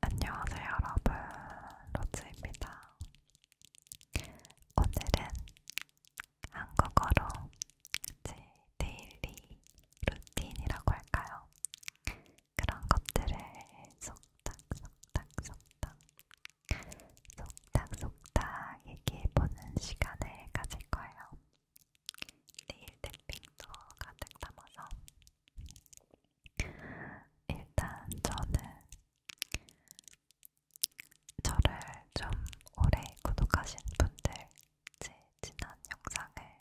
안녕하세요, 여러분. 로즈입니다. 오늘은 한국어로 제 데일리 루틴이라고 할까요? 그런 것들을 속닥속닥속닥 속닥속닥 얘기해보는 시간을 가질 거예요. 내일 탭핑도 가득 담아서 일단 저는 저를 좀 오래 구독하신 분들, 제 지난 영상을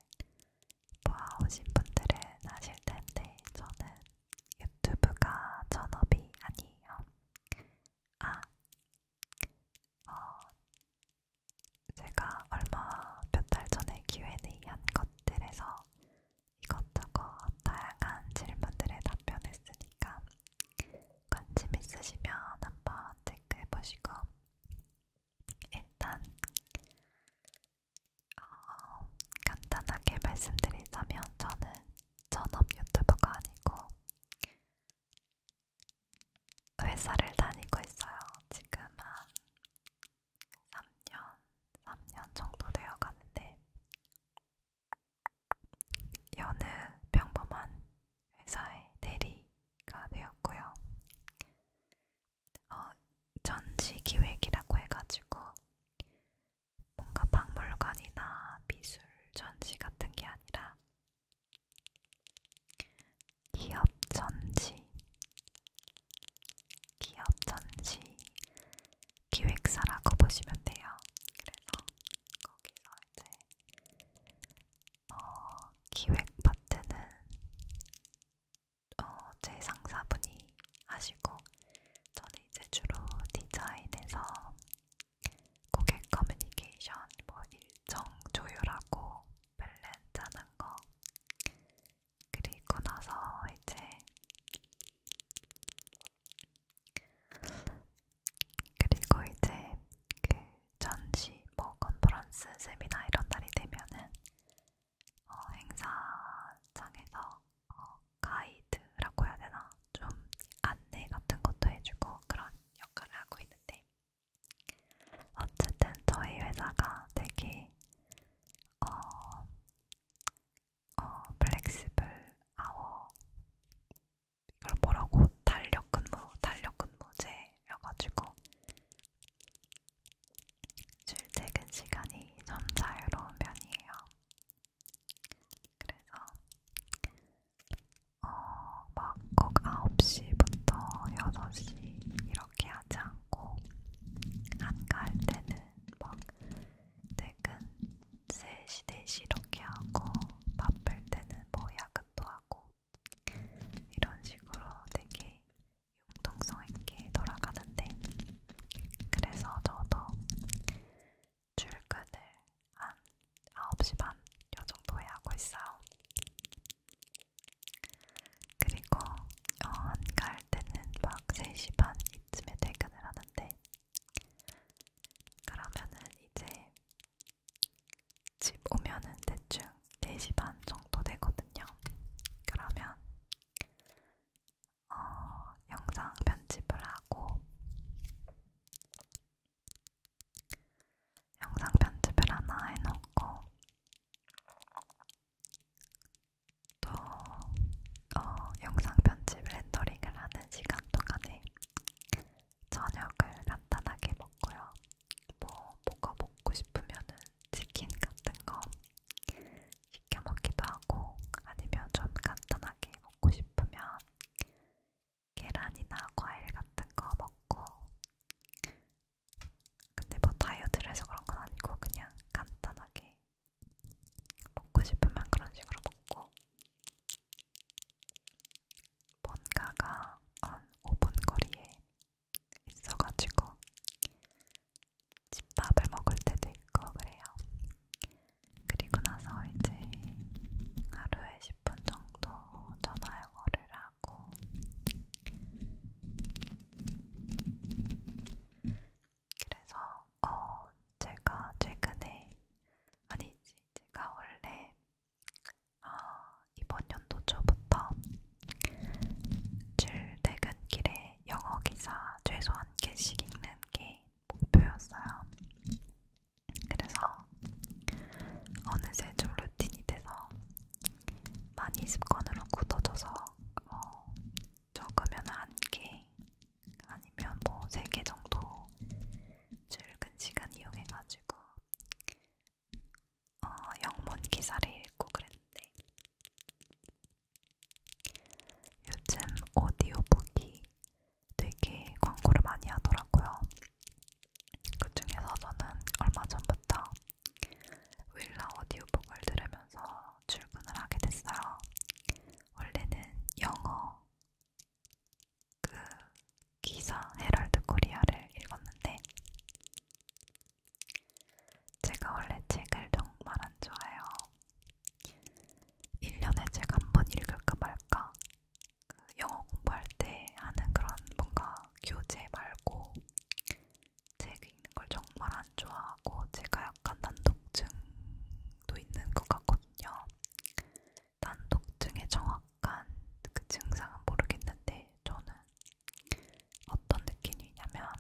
보아오신 분들은 아실 텐데 저는 유튜브가 전업이 아니에요. 아, 어, 제가 얼마 몇 달 전에 Q&A한 것들에서 이것저것 다양한 질문들에 답변했으니까 관심 있으시면 한번 체크해보시고 일단 어, 간단하게 말씀드리자면 저는 전업 유튜버가 아니고 회사를 다니고 있어요. 지금 한 3년, 3년 정도 되어 가는데 여느 평범한 회사의 대리가 되었고요. 어, 전시기획이라고 해가지고 뭔가 박물관이나 미술 전시 같은 게 아니라 기업 전시, 기업 전시 기획사라고 보시면 돼요. 그래서 거기서 이제 어, 기획 파트는 어, 제 상사분이 하시고 저는 이제 주로 디자인에서 고객 커뮤니케이션, 뭐 일정 조율하고 밸런스 하는 거 그리고 나서 이제 그리고 이제 그 전시, 뭐 컨퍼런스, 세미나 이런 날이 되면은 어, 행사장에서 어, 가이드라고 해야 되나? 좀 안내 같은 것도 해주고 그런 역할을 하고 있는데 어쨌든 저희 회사가 되게 어, 어, 플렉시블 아워 이걸 뭐라고 달력 근무, 달력 근무제여가지고 출퇴근 시간이 좀 자유로운 편이에요. 그래서 어, 막꼭 9시부터 6시 이렇게 하지 않고 한가할 때는 막 퇴근 3시, 4시 이렇게 하고 바쁠 때는 뭐 야근도 하고 이런 식으로 되게 융통성 있게 돌아가는데 그래서 저도 출근을 한 9시 반 요정도에 하고 있어요. 그리고 어, 한가할 때는 막 3시 반 이쯤에 퇴근을 하는데 그러면은 이제 집 오면은 대충 4시 반 정도 되거든요. 그러면 어, 영상 편집을 하고 영상 편집을 하나 해놓고 또 어, 영상 편집 렌더링을 하는 시간 동안에 저녁을 간단하게 먹고요. 뭐 뭐가 먹고 싶으면은 치킨 같은 거 시켜 먹기도 하고 아니면 좀 간단하게 먹고 싶으면 계란이나 과일 같은 거 먹고 근데 뭐 다이어트를 해서 그런 건 아니고 그냥 간단하게 먹고 싶으면 그런 식으로 먹고 뭔가가 한 5분 거리에 있어가지고 집밥을 먹을 때도 있고 그래요. 그리고 나서 이제 하루에 10분 정도 전화 영어를 하고 그래서 어 제가 최근에 아니지 제가 원래 어, 이번 연도 초부터 출퇴근길에 때 영어 기사 최소 한 개씩 읽는 게 목표였어요. 그래서 어느새 좀 루틴이 돼서 많이 습관으로 굳어져서 어, 적으면 한 개, 아니면 뭐 세 개 정도 출근 시간 이용해가지고 어, 영문 기사를 읽고 그랬는데 요즘 오디오북이 되게 광고를 많이 하더라고요. 그 중에서 저는 얼마 전부터 윌라 오디오북을 들으면서 출근을 하게 됐어요. 원래는 영어 그 기사 헤럴드 코리아를 읽었는데 제가 원래 책을 정말 안 좋아해요. 1년에 책 한 번 읽을까 말까. 그 영어 공부할 때 하는 그런 뭔가 교재 말고 책 읽는 걸 정말 안 좋아하고 제가 약간 난독증도 있는 것 같거든요. 난독증의 정확한 그 증상은 모르겠는데 저는 어떤 느낌이냐면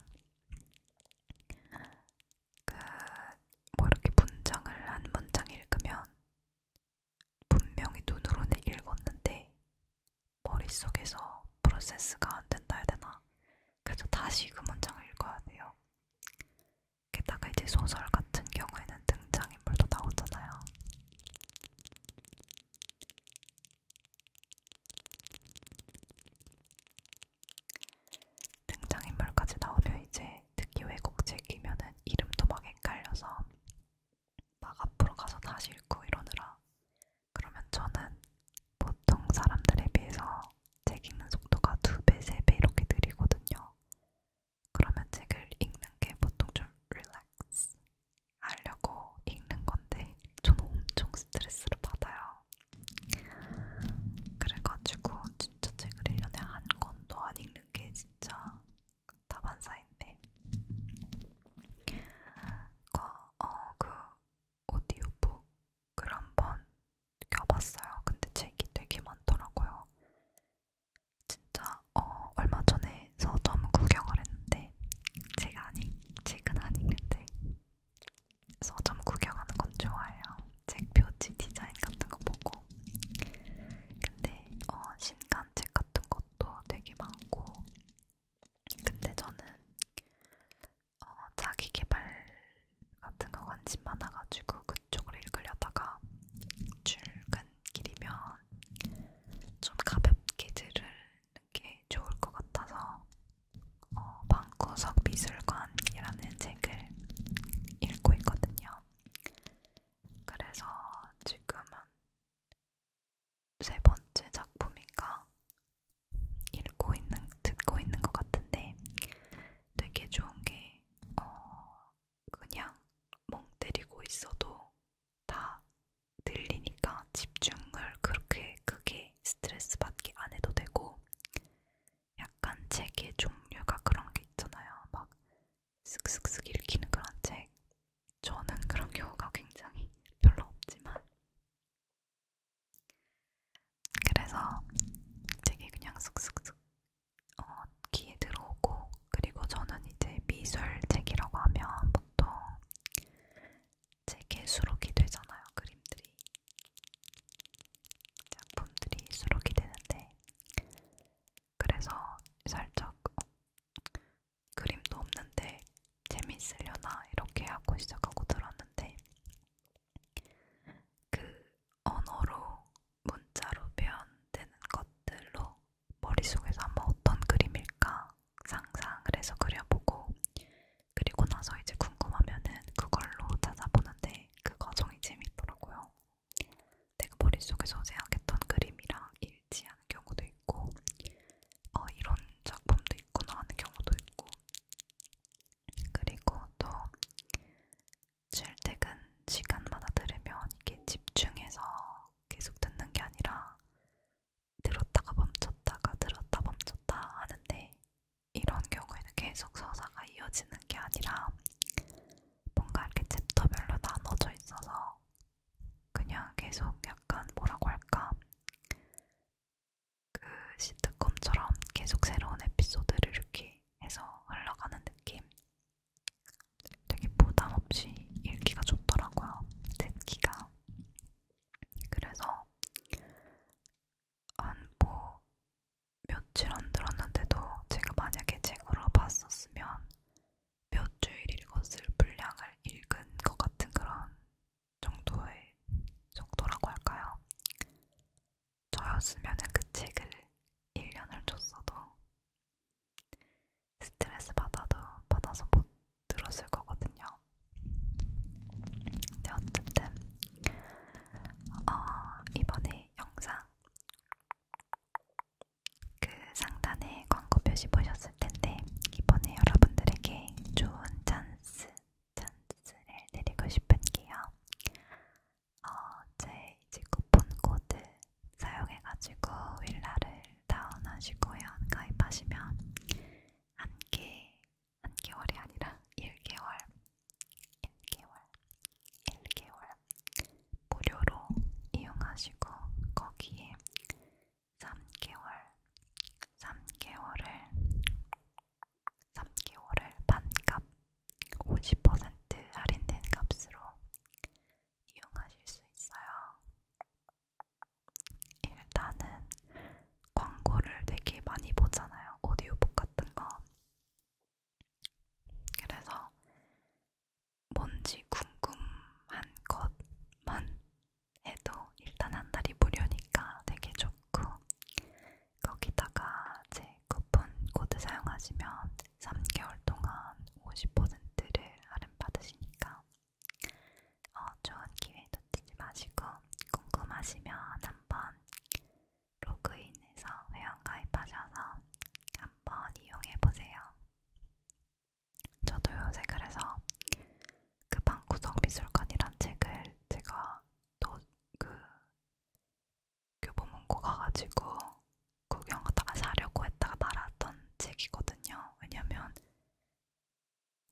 그뭐 이렇게 문장을 한 문장 읽으면 분명히 눈으로는 읽었는데 머릿속에서 프로세스가 안 된다 해야 되나 그래서 다시 그 문장을 읽어야 돼요. 게다가 이제 소설 같은 경우에는 등장인물도 나오잖아요. 등장인물까지 나오면 이제 특히 외국책 이면은 이름도 막 헷갈려서 막 앞으로 가서 다시 읽고 이러느라 그러면 저는 보통 사람들에 비해서 책 읽는 속도가 두 배, 세 배 이렇게 느리거든요. 그러면 책을 읽는 게 보통 좀 릴렉스 알려고 읽는 건데 저는 엄청 스트레스를 받아요. 그래가지고 진짜 책을 1년에 한 권도 안 읽는 게 진짜 다반사인데 그, 어, 그 오디오북을 한번 껴봤어요. 근데 책이 되게 많더라고요. 진짜 어, 얼마 전에 서점 구경을 했는데 제가 아니, 책은 아닌데 서점 구경하는 건 좋아해요. 책 표지 디자인 같은 거 보고 근데 어, 신간 책 같은 것도 되게 많고 근데 저는 어, 자기 개발 같은 거 관심 많아가지고 그쪽을 읽으려다가 출근길이면 좀 가볍게 들을 이렇게 좋을 것 같아서 어, 방구석 미술관이라는 책을 읽고 있거든요. 그래서 지금은 세 번째 작품인가 읽고 있는 듣고 있는 것 같은데 되게 좋은 게 어, 그냥 멍 때리고 있어도 다 들리니까 집중을 그렇게 크게 스트레스 받기 안 해도 되고 약간 책의 종류가 그런 게 있잖아요. 막 슥슥슥 읽히는 그런 책. 저는 그런 경우가 굉장히 별로 없지만 그래서 책이 그냥 슥슥슥 어, 귀에 들어오고 그리고 저는 이제 미술 책이라고 하면 보통 책에 수록이 되잖아요, 그림들이. 작품들이 수록이 되는데, 그래서 살짝 어, 그림도 없는데 재밌으려나 이렇게 하고 시작하고 들었는데, 그 언어로 문자로 표현되는 것들로 머릿속에서 한번 어떤 그림일까 상상을 해서 그려보고 그리고 나서 이제 궁금하면은 그걸로 찾아보는데 그 과정이 재밌더라고요. 내가 머릿속에서 생각했던 그림이랑 일치하는 경우도 있고 어, 이런 작품도 있구나 하는 경우도 있고 그리고 또 출퇴근 시간마다 들으면 이게 집중해서 계속 듣는 게 아니라 들었다가 멈췄다가 들었다 멈췄다 하는데 이런 경우에는 계속 서사가 이어지는 게 아니라 뭔가 이렇게 챕터별로 나눠져 있어서 그냥 계속 약간 뭐라고 할까 그 시트콤처럼 계속 새로운 에피소드를 이렇게 해서 흘러가는 느낌 되게 부담 없이 읽기가 좋더라고요. 듣기가. 그래서 안보 뭐 며칠 안 들었는데도 제가 만약에 책으로 봤었으면 몇 주일 읽었을 분량을 읽은 것 같은 그런 정도의 정도라고 할까요? 저였으면 그 책을 1년을 줬어도 스트레스 받아도 받아서 못 들었을 거거든요. 근데 어쨌든 어, 이번에 영상 그 상단에 광고 표시 보셨을 텐데 이번에 여러분들에게 좋은 찬스 찬스를 드리고 싶은게요. 어, 제 이제 쿠폰 코드 사용해가지고 윌라를 다운하시고 연가입하시면 한개 한개월이 아니라 1개월 1개월 1개월 무료로 이용하시고 거기에 3개월 3개월을 3개월을 반값 50% 할인된 값으로 이용하실 수 있어요. 일단은 광고를 되게 많이 보잖아요. 오디오북 같은 거. 그래서 뭔지 궁금한 것만 해도 일단 한 달이 무료니까 되게 좋고 거기다가 제 쿠폰 코드 사용하시면 3개월 동안 50%를 할인받으시니까 어, 좋은 기회 놓치지 마시고 궁금하시면 한번 로그인해서 회원 가입하셔서 한번 이용해보세요. 저도 요새 그래서 그 방구석 미술관이란 책을 제가 또 그 교보문고 가가지고 구경하다가 사려고 했다가 말았던 책이거든요. 왜냐면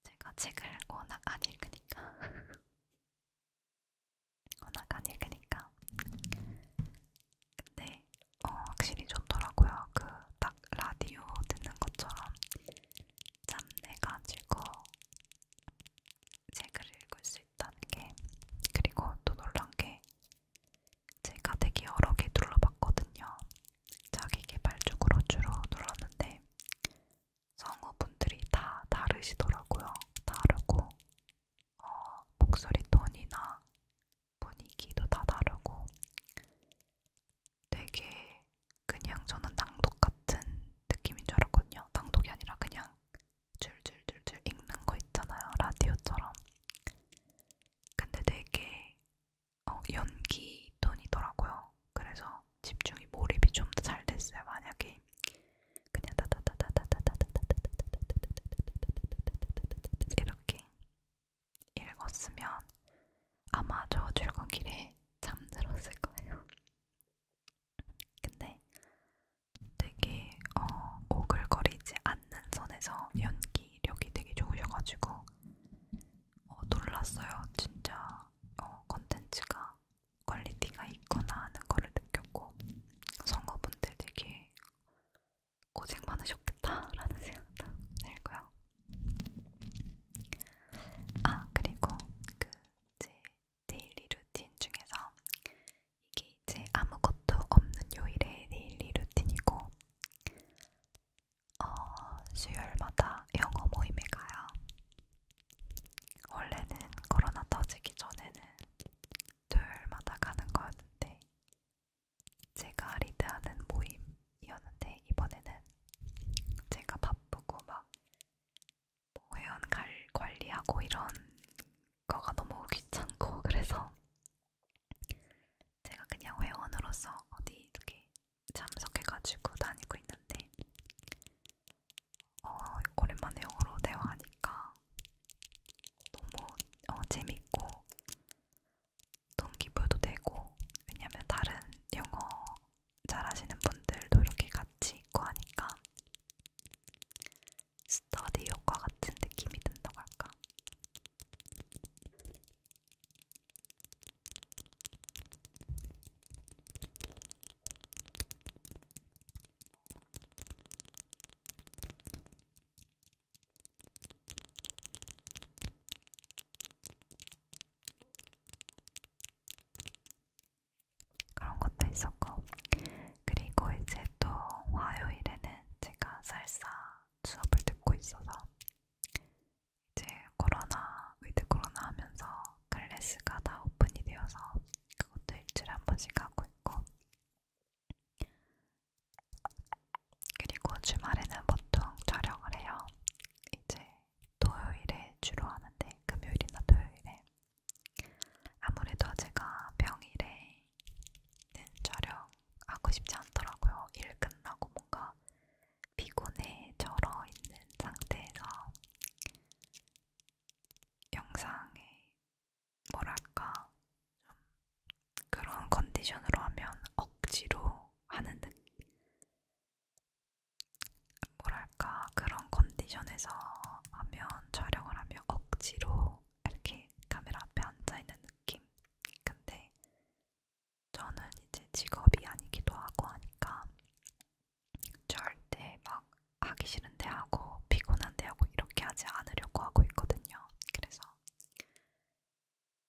제가 책을 워낙 안 읽으니까 워낙 안 읽으니까 근데 어, 확실히 좋더라고요. 그 딱 라디오 듣는 것처럼 짬 내가지고 책을 읽을 수 있다는 게 그리고 또 놀란 게 제가 되게 여러 개 눌러봤거든요. 자기 개발 쪽으로 주로 눌렀는데 성우분들이 다 다르시더라고요. 다르고 어, 목소리 톤이나 분위기도 다 다르고 되게 그냥 저는 낭독 같은 느낌인 줄 알았거든요. 낭독이 아니라 그냥 줄줄줄줄 읽는 거 있잖아요. 라디오처럼. 근데 되게 어, 연기 톤이더라고요. 그래서 집중이 몰입이 좀 더 잘 됐어요. 만약에 그냥 이렇게 읽었으면 아마 저 출근길에 잠들었을 거예요. 근데 되게 어, 오글거리지 않는 선에서 연기력이 되게 좋으셔가지고 어, 놀랐어요. 진짜 어, 컨텐츠가 퀄리티가 있거나 하는 거를 느꼈고 선거분들 되게 고생 많으셨겠다라는 생각도 들고요. 아 그리고 그 제 데일리 루틴 중에서 이게 이제 아무것도 없는 요일의 데일리 루틴이고 어, 수요일마다 영어 모임에 가요. 원래는 코로나 터지기 전에는 토요일마다 가는 거였는데 제가 리드하는 모임이었는데 이번에는 제가 바쁘고 막 뭐 회원 관리하고 이런 거가 너무 귀찮고 그래서 제가 그냥 회원으로서 어디 이렇게 참석해가지고 다니고 있는데 어, 오랜만에 영어로 대화하니까 너무 어, 재밌고 동기부여도 되고 왜냐면 다른 영어 잘하시는 분들도 이렇게 같이 있고 하니까 스터디 효과 같은 느낌이 든다고 할까? 그런 것도 있었고 그리고 이제 또 화요일에는 제가 살사 수업을 듣고 있어서 이제 코로나, 위드 코로나 하면서 클래스가 다 오픈이 되어서 그것도 일주일에 한 번씩 하고 있고 그리고 주말에는 보통 촬영을 해요. 이제 토요일에 주로 하는데 금요일이나 토요일에 아무래도 제가 평일에는 촬영하고 싶지 않더라고요. 일 끝나고 뭔가 피곤해 절어 있는 상태에서 영상에 뭐랄까 좀 그런 컨디션으로 하면 억지로 하는 느낌 뭐랄까 그런 컨디션에서 하면 촬영을 하면 억지로 이렇게 카메라 앞에 앉아있는 느낌. 근데 저는 이제 직업이 아니기도 하고 하니까 절대 막 하기 싫은데 하고 피곤한데 하고 이렇게 하지 않으려고 하고 있거든요. 그래서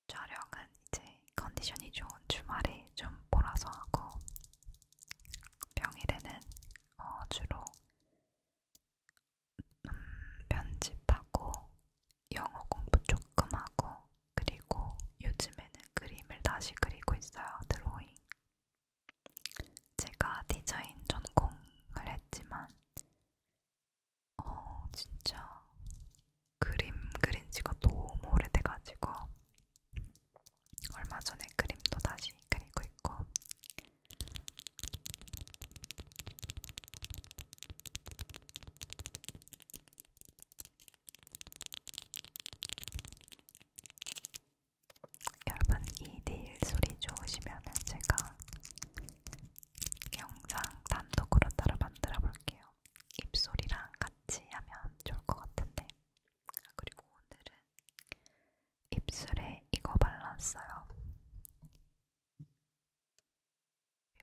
촬영은 이제 컨디션이 좋은 주말에 좀 몰아서 하고 평일에는 어 주로 음, 편집하고 영어 공부 조금 하고 그리고 요즘에는 그림을 다시 그리고 있어요. 드로잉. 제가 디자인 전공을 했지만 어 진짜 그림 그린 지가 너무 오래돼가지고 얼마 전에 그림도 다시 그리고 있고 여러분 이 내일 소리 좋으시면 제가 영상 단독으로 따로 만들어 볼게요. 입소리랑 같이 하면 좋을 것 같은데 아, 그리고 오늘은 입술에 이거 발랐어요.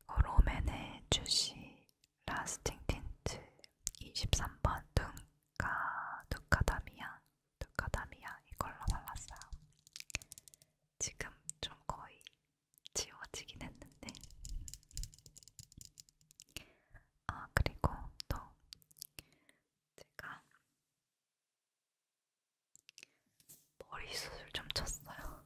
이거 롬앤의 주시 라스팅 틴트 23번 눈가 누카다미아 누카다미아 이걸로 발랐어요. 지금 좀 거의 지워지긴 했는데 아 그리고 또 제가 머리 수술 좀 쳤어요.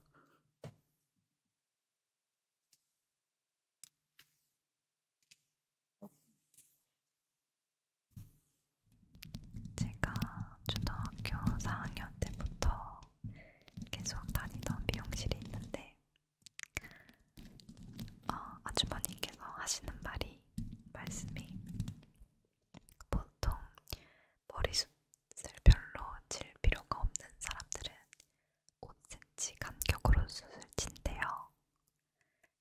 제가 초등학교 4학년 때부터 계속 다니던 미용실이 있는데 어, 아주머니께서 하시는 말이 이 말씀이 보통 머리숱을 별로 질 필요가 없는 사람들은 5cm 간격으로 숱을 친대요.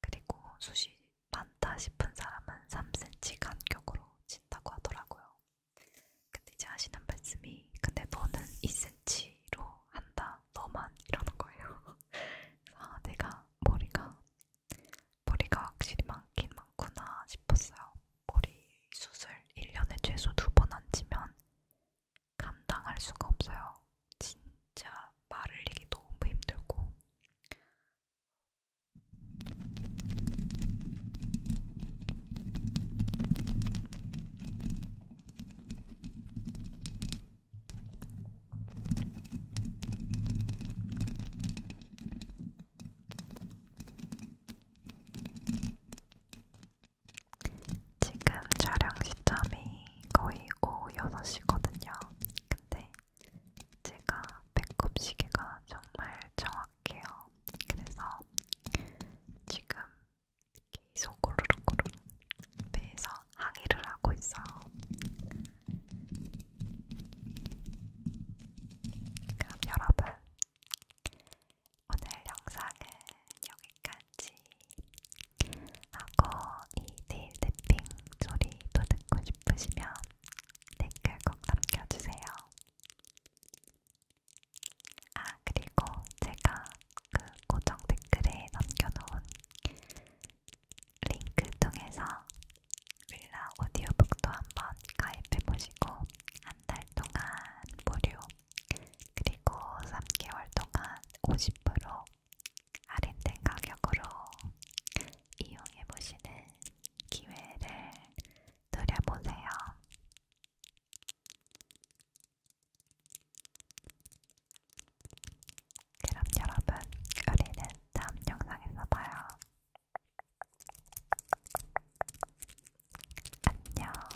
그리고 숱이 많다 싶은 사람은 3cm 간격으로 친다고 하더라고요. 근데 이제 하시는 말씀이 근데 너는 2cm로 한다. 너만 이러는 거예요. 아, 내가 머리가 머리가 확실히 많긴 많구나 싶었어요. 머리 수술 1년에 최소 두 번 앉으면 감당할 수가 없어요. 진짜 말을 이기 너무 힘들고 지금 촬영 시점이 거의 오후 6시거든요. 근데 제가 배꼽 시계가 정말 정확해요. 그래서 지금 계속 고르륵고르륵 배에서 항의를 하고 있어요. 그럼 여러분, 오늘 영상은 여기까지 하고 이 네일 탭핑 소리도 듣고 싶으시면 댓글 꼭 남겨주세요. 아, 그리고 제가 그 고정 댓글에 남겨놓은 링크 통해서 윌라 오디오북도 한번 가입해보시고 한 달 동안 무료 그리고 3개월 동안 50% 할인된 가격으로 이용해보시는 기회를 누려보세요. 그럼 여러분, 우리는 다음 영상에서 봐요. 안녕.